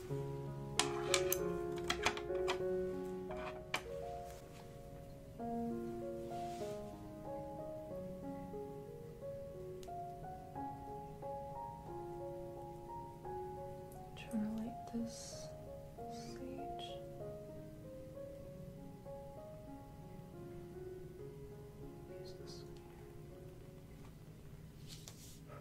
Trying to light this sage. Use this one.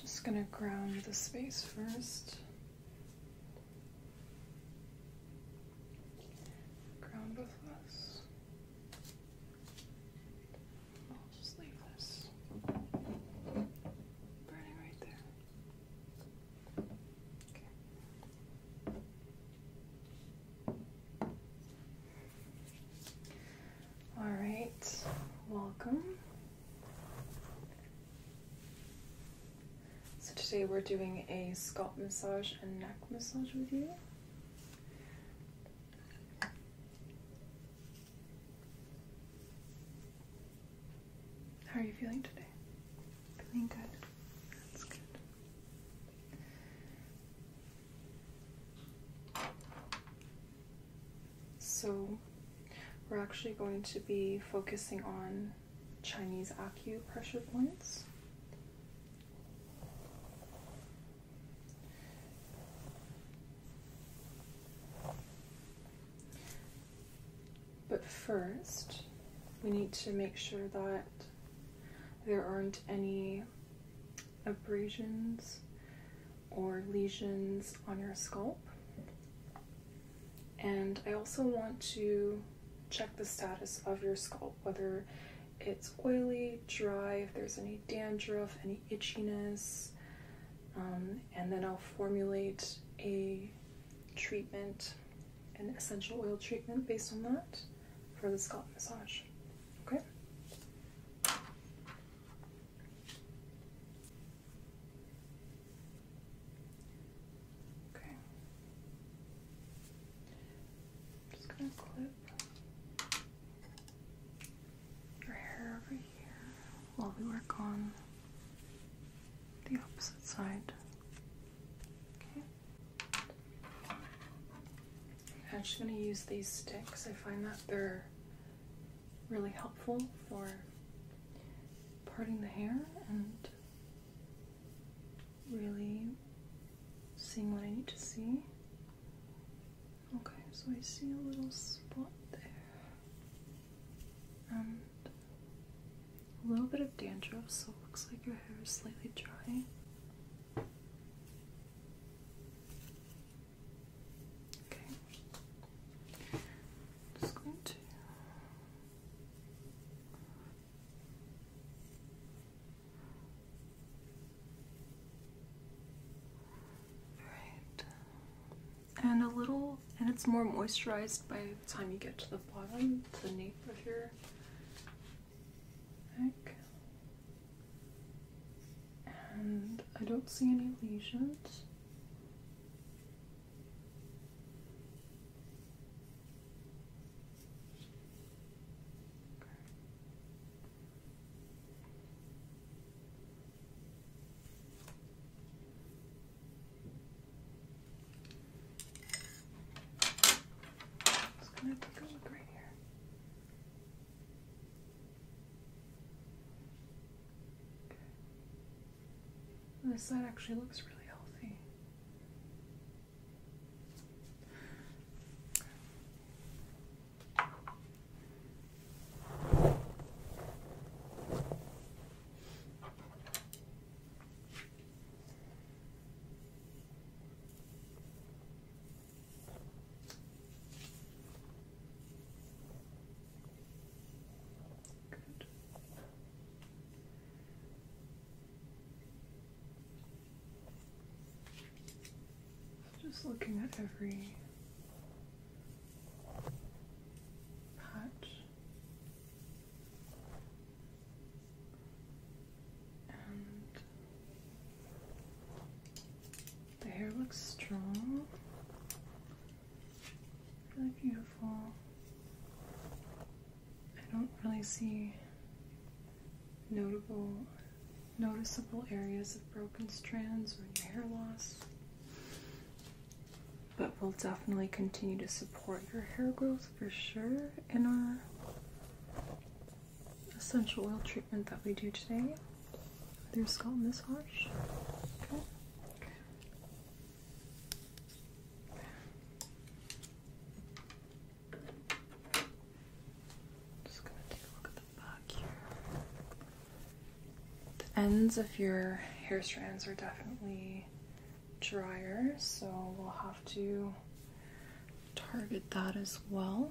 Just going to ground the space first. Ground both us. I'll just leave this burning right there. Okay. All right, welcome. So, today we're doing a scalp massage and neck massage with you. How are you feeling today? Feeling good. That's good. So we're actually going to be focusing on Chinese acupressure points. But first, we need to make sure that there aren't any abrasions or lesions on your scalp. And I also want to check the status of your scalp, whether it's oily, dry, if there's any dandruff, any itchiness, um, and then I'll formulate a treatment, an essential oil treatment based on that for the scalp massage. Okay? Okay. just gonna clip your hair over here while we work on the opposite side. I'm just gonna use these sticks. I find that they're really helpful for parting the hair and really seeing what I need to see. Okay, so I see a little spot there. And a little bit of dandruff, so it looks like your hair is slightly dry. Okay. Just going to Right. And a little and it's more moisturized by the time you get to the bottom, to the nape of your neck and I don't see any lesions. Okay. It's going look right here. This side actually looks really healthy. Just looking at every patch and the hair looks strong. Really beautiful. I don't really see notable, noticeable areas of broken strands or hair loss. But we'll definitely continue to support your hair growth for sure in our essential oil treatment that we do today. Their skull this harsh? Okay. Just gonna take a look at the back here. The ends of your hair strands are definitely drier, so we'll have to target that as well.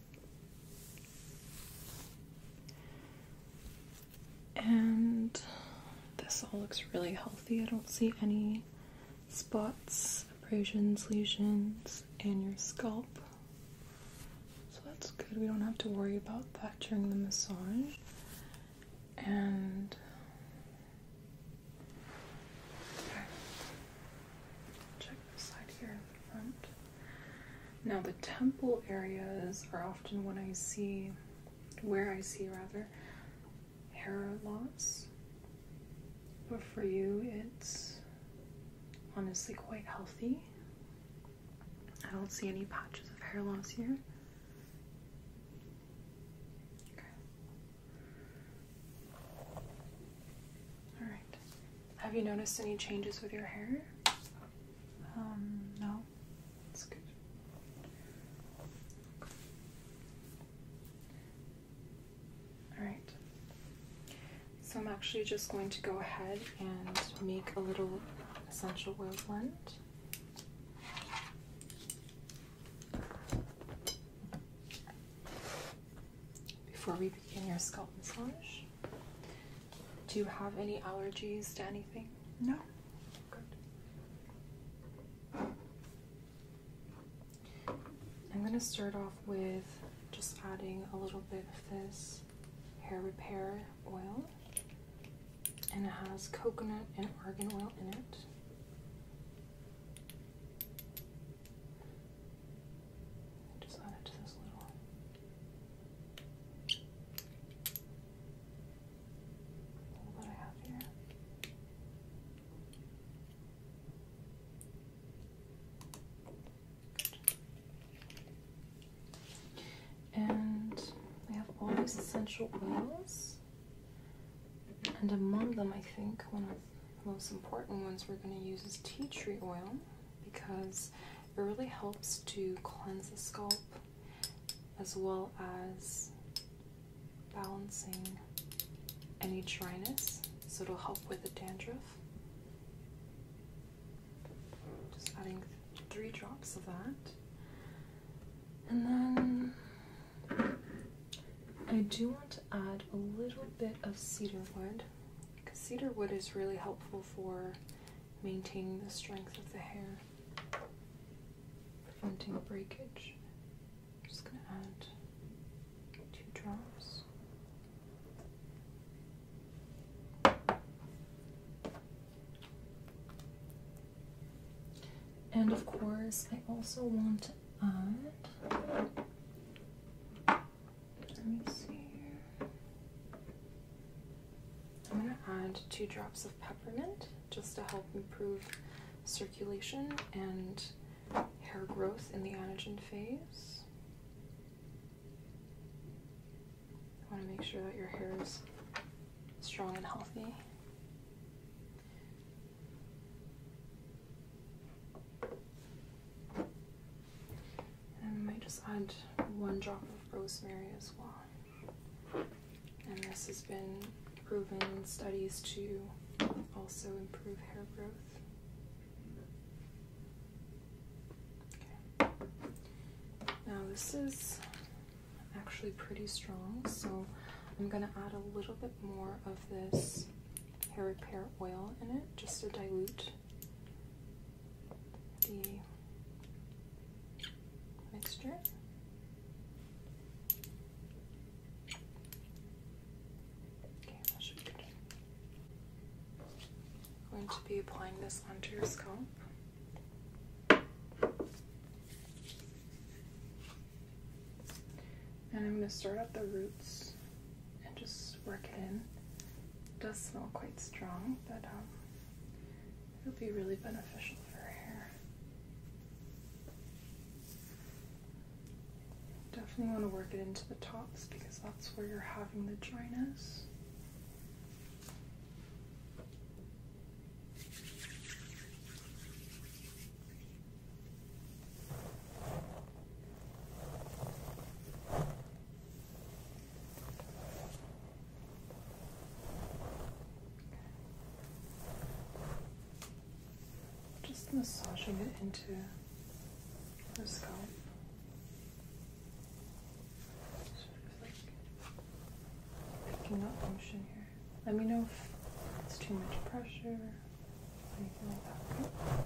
And this all looks really healthy. I don't see any spots, abrasions, lesions in your scalp. So that's good. We don't have to worry about that during the massage. And check the side here in the front. Now, the temple areas are often when I see, where I see rather, hair loss. But for you, it's honestly quite healthy. I don't see any patches of hair loss here. All right. Have you noticed any changes with your hair? Um, no. That's good. Alright. So I'm actually just going to go ahead and make a little essential oil blend before we begin your scalp massage. Do you have any allergies to anything? No. Good. I'm going to start off with just adding a little bit of this hair repair oil, and it has coconut and argan oil in it just add it to this little. All I have here. And we have all these essential oils, and among them, I think one of the most important ones we're going to use is tea tree oil because it really helps to cleanse the scalp as well as balancing any dryness, so it'll help with the dandruff. Just adding three drops of that. And then I do want to add a little bit of cedar wood because cedar wood is really helpful for maintaining the strength of the hair, preventing breakage. just going to add two drops. And of course, I also want to add I'm going to add two drops of peppermint just to help improve circulation and hair growth in the anagen phase. I want to make sure that your hair is strong and healthy. And I might just add one drop of rosemary as well. And this has been proven in studies to also improve hair growth. Now this is actually pretty strong, so I'm going to add a little bit more of this hair repair oil in it just to dilute the mixture. Okay, that should be good. going to be applying this onto your scalp. And I'm going to start at the roots and just work it in. It does smell quite strong, but um, it'll be really beneficial for hair. Definitely want to work it into the tops because that's where you're having the dryness. Just massaging it into the scalp. Sort of like picking up motion here. Let me know if it's too much pressure anything like that.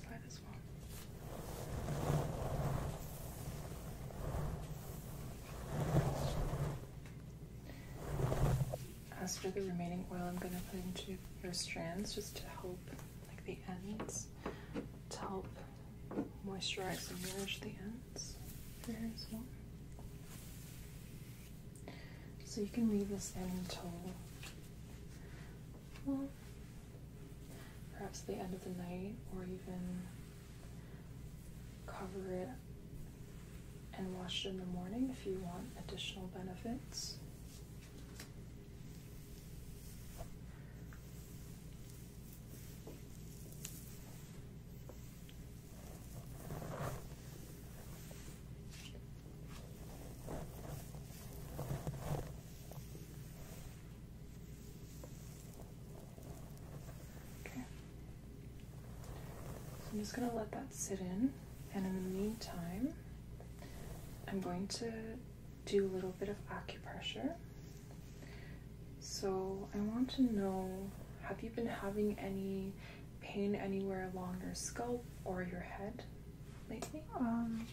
Slide as for the remaining oil, I'm going to put into your strands just to help, like the ends, to help moisturize and nourish the ends for here as well. So you can leave this until, well, perhaps the end of the night or even cover it and wash it in the morning if you want additional benefits. Okay. So I'm just going to let that sit in, and in the meantime, I'm going to do a little bit of acupressure. So I want to know have you been having any pain anywhere along your scalp or your head? lately? Um,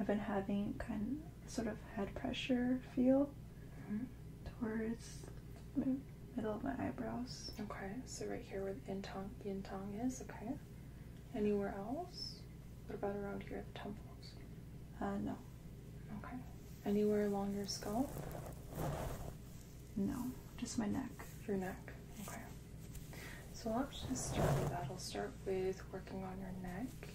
I've been having kind of sort of head pressure feel mm-hmm. towards middle of my eyebrows. Okay, so right here where the intong, yin is, okay. Anywhere else? What about around here at the temples? Uh, no. Okay. Anywhere along your skull? No, just my neck. Your neck, okay. So I'll just start with that. I'll start with working on your neck.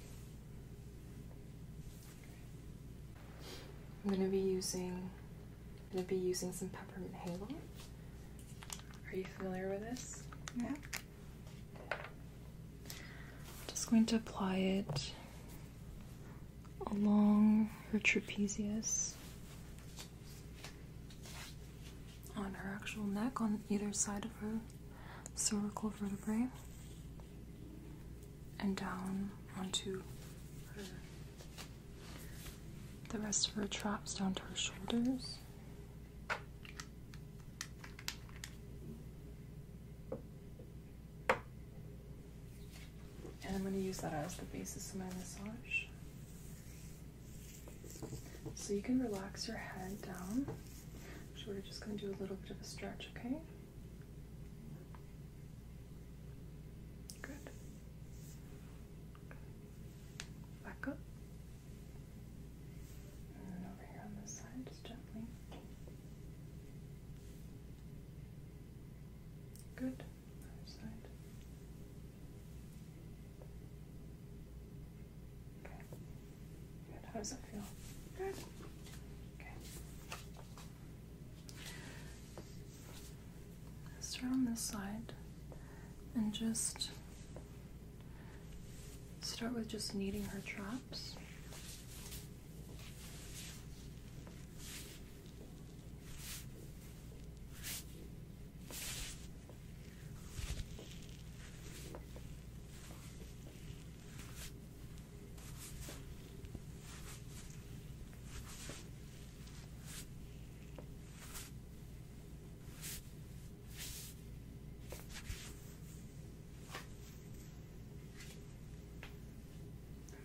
I'm gonna be using I'm gonna be using some peppermint halo. Are you familiar with this? Yeah. just going to apply it along her trapezius on her actual neck on either side of her cervical vertebrae and down onto the rest of her traps down to her shoulders. And I'm going to use that as the basis of my massage. So you can relax your head down. So we're just going to do a little bit of a stretch, okay? Good. Back up. And then over here on this side, just gently. Good. Other side. How does it feel? Good. Okay. Start on this side and just start with just kneading her traps.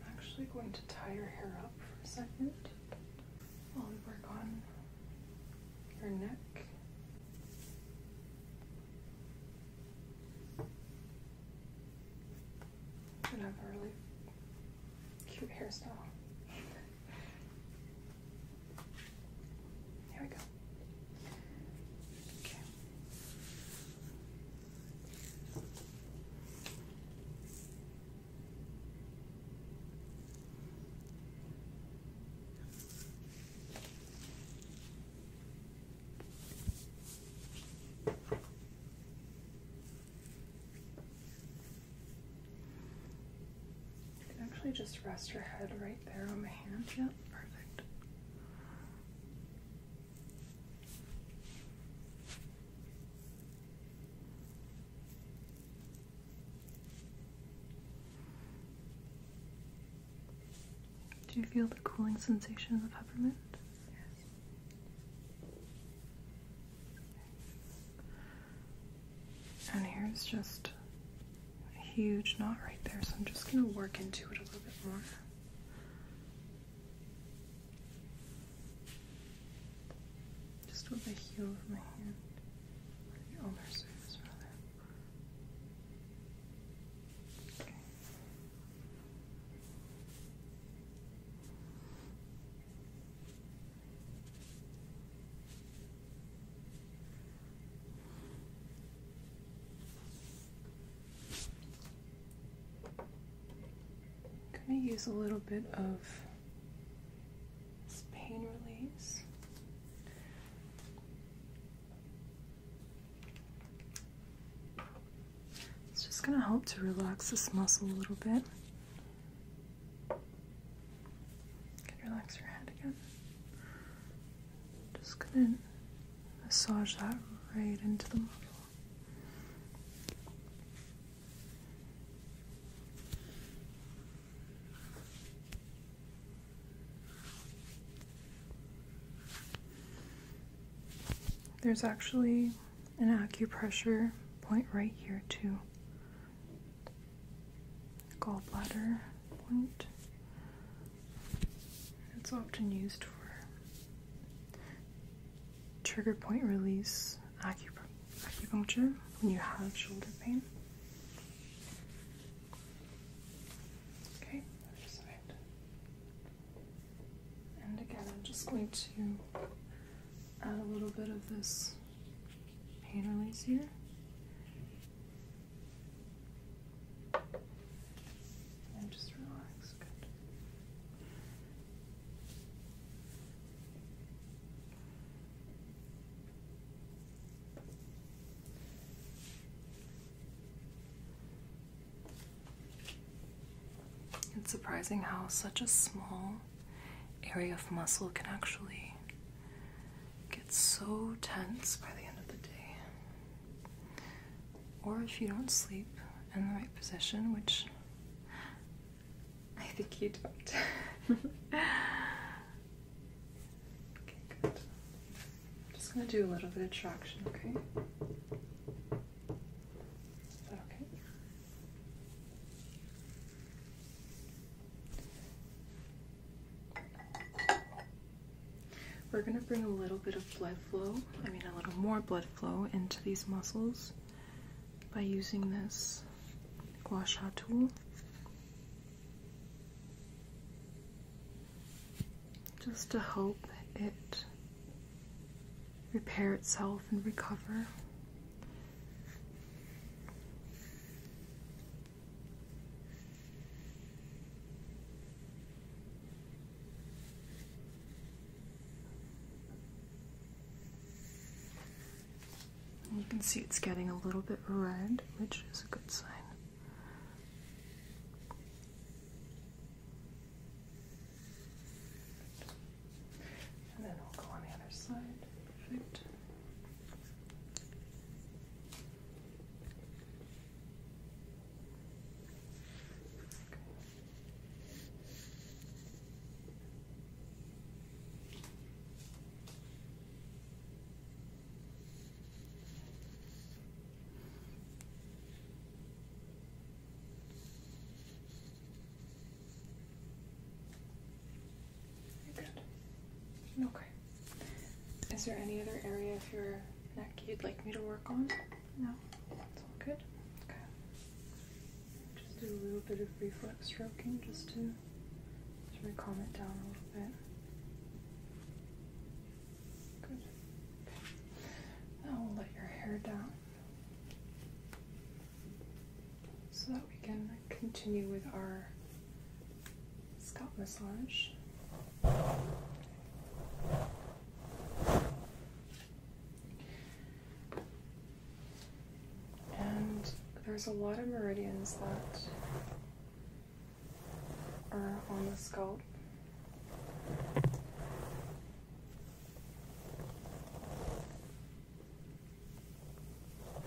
I'm actually going to tie your hair up for a second while we work on your neck. And have a cute hairstyle. Here we go. Okay actually just rest your head right there on my hand. Yep, perfect. Do you feel the cooling sensation of peppermint? Yes. And here's just a huge knot right there, so I'm just going to work into it a little bit more. Just with the heel of my hand the ulnar going to use a little bit of this pain release. It's just going to help to relax this muscle a little bit. You can relax your head again. Just going to massage that right into the muscle. There's actually an acupressure point right here, too. Gallbladder point. It's often used for trigger point release acup acupuncture when you have shoulder pain. Okay, And again, I'm just going to add a little bit of this paint release here. And just relax. Good. It's surprising how such a small area of muscle can actually get so tense by the end of the day. Or if you don't sleep in the right position, which I think you don't. Okay, good. I'm just going to do a little bit of traction, okay? Is that okay? We're going to bring a little bit of blood flow, I mean a little more blood flow into these muscles by using this gua tool just to help it repair itself and recover. You can see it's getting a little bit red, which is a good sign. And then I'll go on the other side. Perfect. Good. Okay. Is there any other area of your neck you'd like me to work on? No? It's all good? Okay. Just do a little bit of reflex stroking just to should we calm it down a little bit? Good. Now we'll let your hair down so that we can continue with our scalp massage. And there's a lot of meridians that or uh, on the scalp.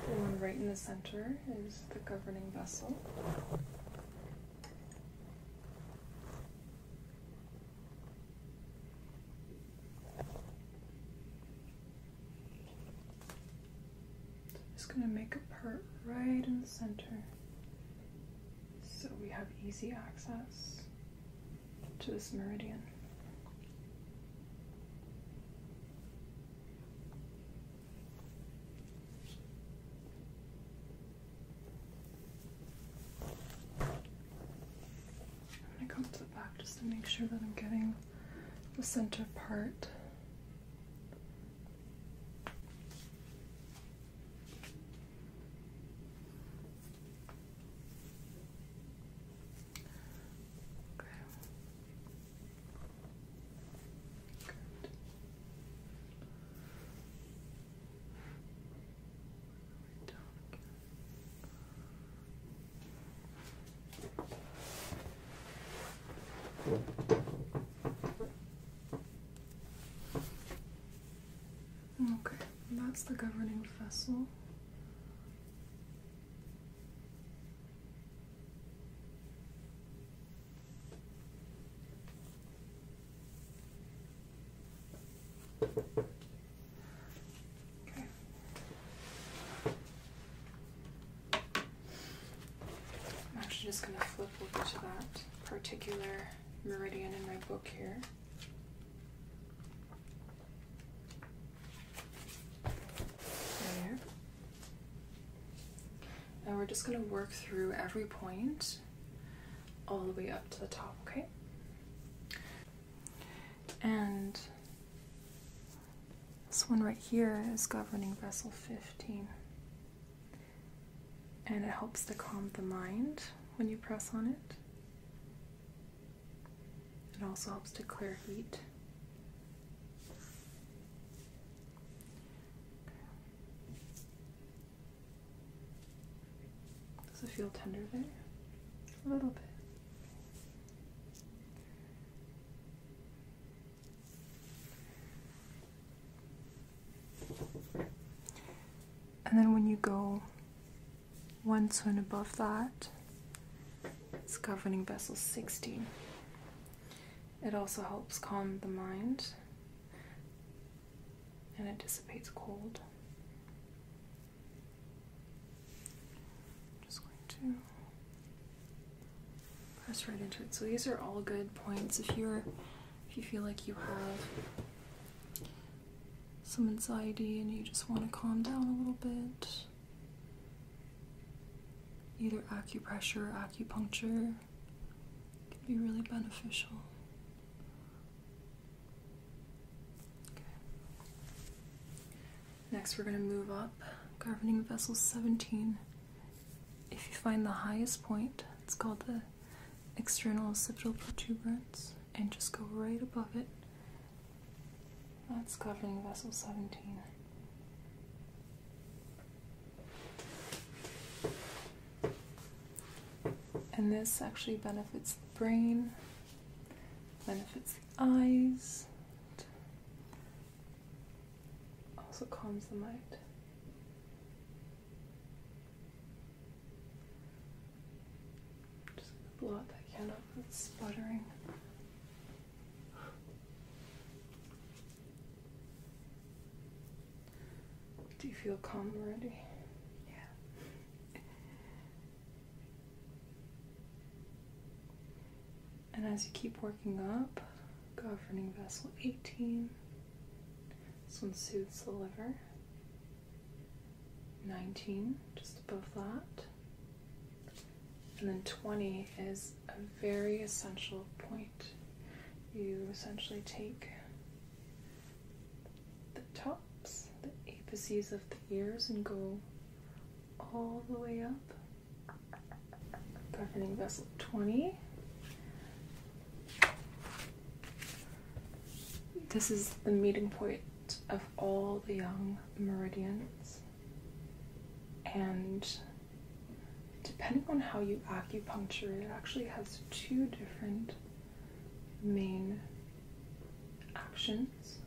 The one right in the center is the governing vessel. Just gonna make a part right in the center so we have easy access to this meridian. I'm gonna come to the back just to make sure that I'm getting the center part Okay. Good. Right down again. Okay, that's the governing vessel. Okay. I'm actually just going to flip over to that particular meridian in my book here. There. And we're just going to work through every point all the way up to the top, okay? And this one right here is governing vessel 15. And it helps to calm the mind when you press on it. It also helps to clear heat. Does it feel tender there? A little bit. And then when you go one swim above that, it's governing vessel 16. It also helps calm the mind and it dissipates cold. just going to press right into it. So these are all good points if you're if you feel like you have some anxiety and you just want to calm down a little bit. Either acupressure or acupuncture can be really beneficial. Next, we're going to move up, governing vessel 17. If you find the highest point, it's called the external occipital protuberance, and just go right above it. That's governing vessel 17. And this actually benefits the brain, benefits the eyes, also calms the mind. Just going that candle that's sputtering. Do you feel calm already? Yeah. And as you keep working up, governing vessel 18. This one soothes the liver. 19, just above that. And then 20 is a very essential point. You essentially take the tops, the apices of the ears, and go all the way up governing vessel 20. This is the meeting point of all the young meridians, and depending on how you acupuncture, it actually has two different main actions.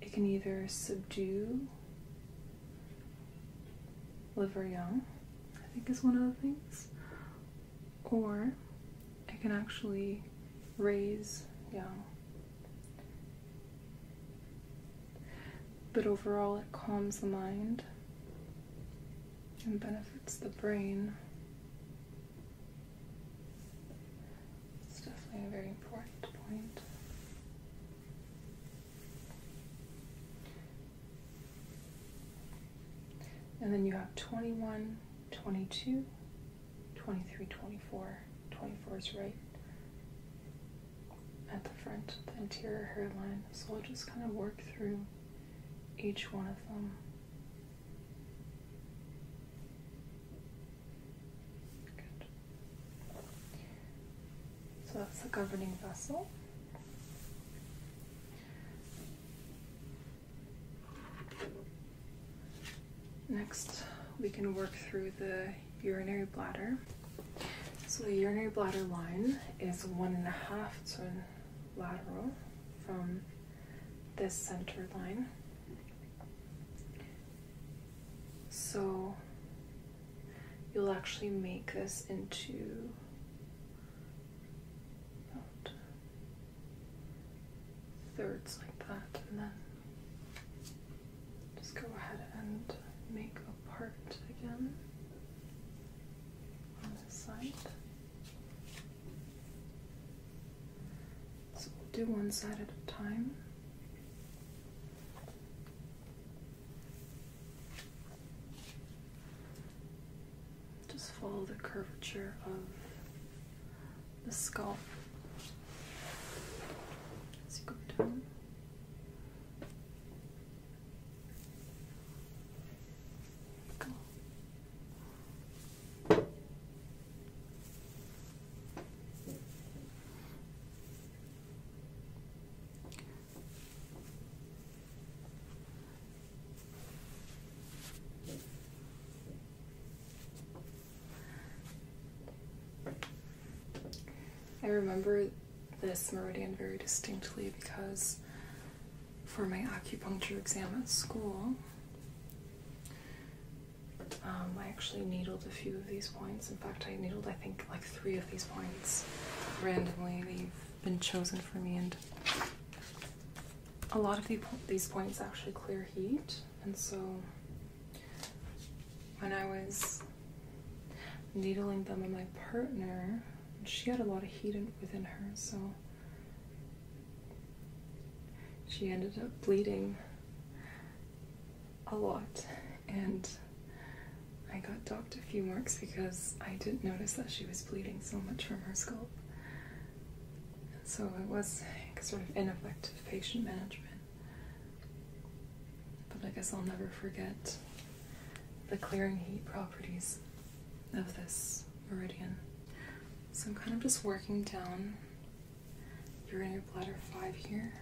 It can either subdue liver young, I think is one of the things, or it can actually raise young. But overall, it calms the mind and benefits the brain. It's definitely a very important point. And then you have 21, 22, 23, 24. 24 is right at the front, the interior hairline. So we'll just kind of work through each one of them. So that's the governing vessel. Next, we can work through the urinary bladder. So the urinary bladder line is one and a half to lateral from this center line so you'll actually make this into thirds like that and then just go ahead and make a part again on this side so we'll do one side at a time. Just follow the curvature of the skull. as you go down. I remember this meridian very distinctly because for my acupuncture exam at school, um, I actually needled a few of these points. In fact, I needled, I think, like three of these points randomly. They've been chosen for me, and a lot of these points actually clear heat. And so when I was needling them on my partner, she had a lot of heat within her, so she ended up bleeding a lot, and I got docked a few marks because I didn't notice that she was bleeding so much from her scalp. So it was sort of ineffective patient management. But I guess I'll never forget the clearing heat properties of this meridian. So I'm kind of just working down your are bladder five here.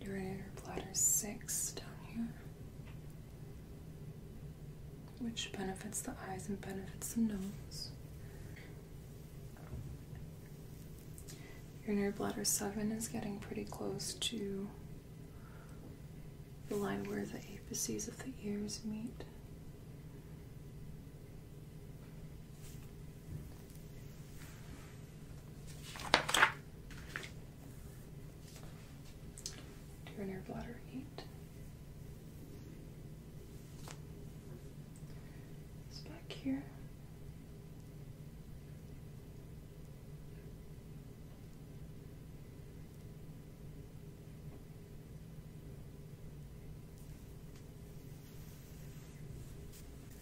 Your are bladder six down here, which benefits the eyes and benefits the nose. Your inner bladder 7 is getting pretty close to the line where the apices of the ears meet. Urinary bladder eight. It's back here.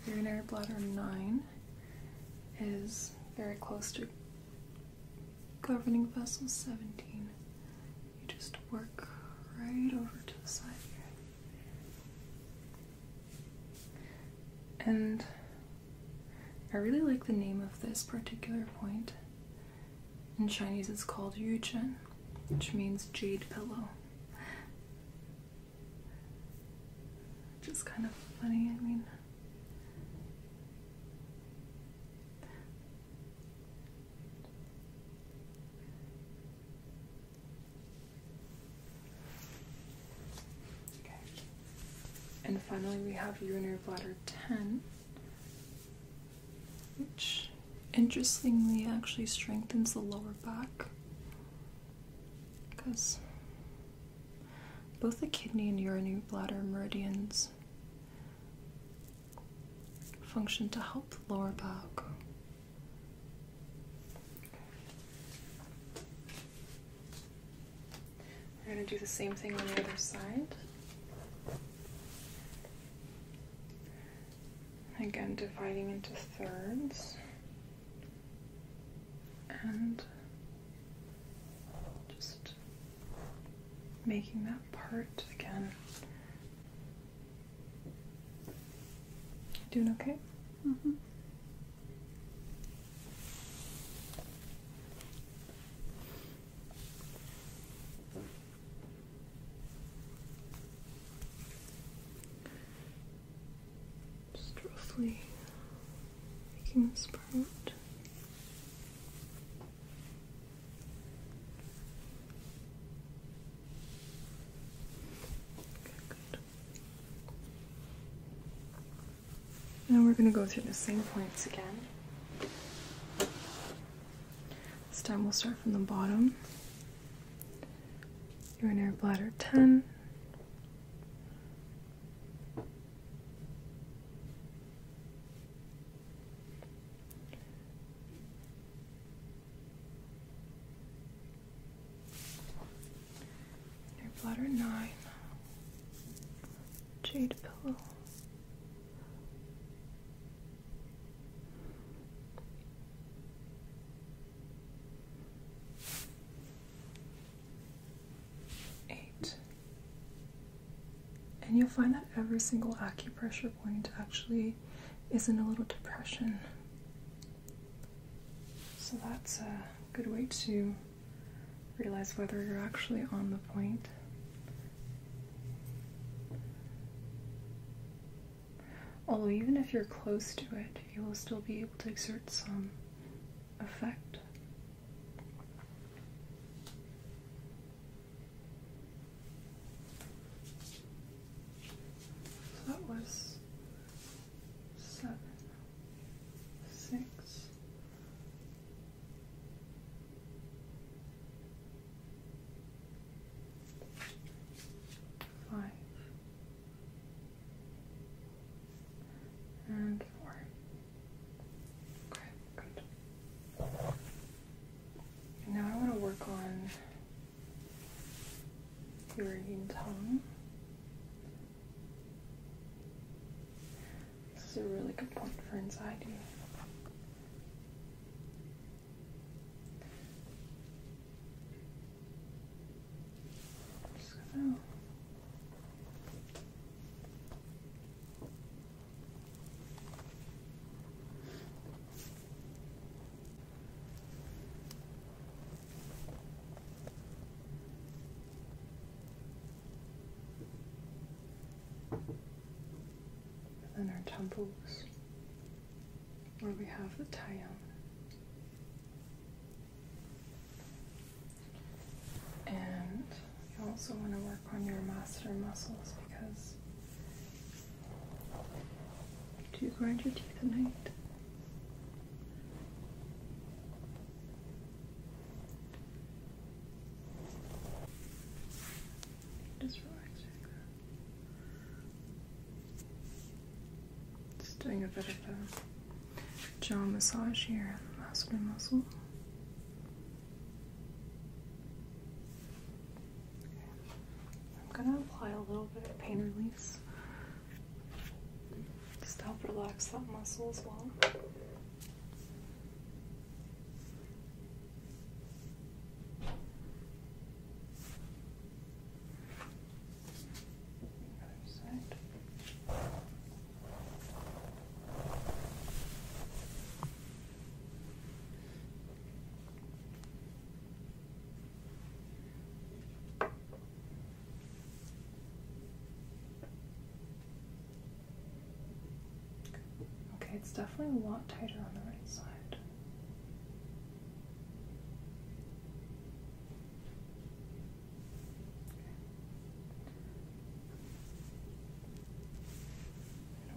Urinary bladder 9 is very close to governing vessel 17. You just work right over to the side here. And I really like the name of this particular point. In Chinese, it's called Yuchen, which means jade pillow. Which is kind of funny, I mean. And finally, we have urinary bladder 10, which interestingly actually strengthens the lower back because both the kidney and urinary bladder meridians function to help the lower back. We're going to do the same thing on the other side. Again, dividing into thirds and just making that part again. Doing okay? Mm-hmm. Just roughly making this part. Okay, good. Now we're going to go through the same points again. This time we'll start from the bottom. Urinary bladder 10. Urinary bladder 9. Jade pillow. Eight. And you'll find that every single acupressure point actually is in a little depression. So that's a good way to realize whether you're actually on the point Although, even if you're close to it, you will still be able to exert some effect. that was seven, six, five, and four. Okay, now I want to work on your tongue. This is a really good point for anxiety. I'm just gonna and our temples where we have the taiyang. And you also want to work on your masseter muscles because do you grind your teeth at night? Just relax Just doing a bit of a jaw massage here in the muscle. I'm going to apply a little bit of pain relief. just to help relax that muscle as well. Other side. Okay. Okay, it's definitely a lot tighter on the right side.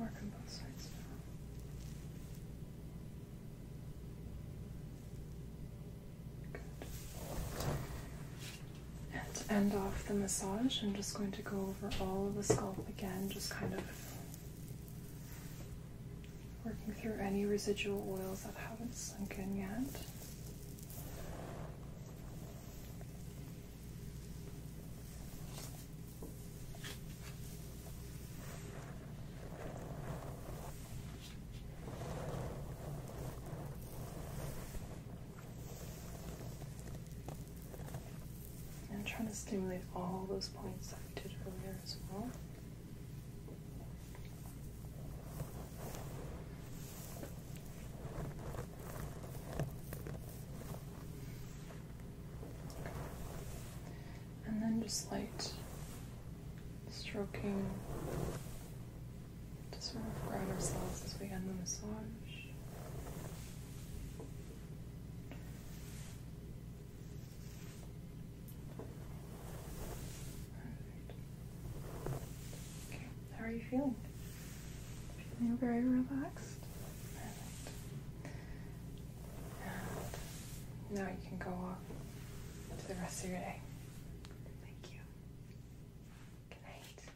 Okay. And on both sides now. Good. And to end off the massage, I'm just going to go over all of the scalp again, just kind of Working through any residual oils that haven't sunk in yet. And I'm trying to stimulate all those points I did earlier as well. And then just light stroking to sort of ground ourselves as we end the massage how are you feeling? Feeling very relaxed. now you can go off to the rest of your day. Thank you. Good night.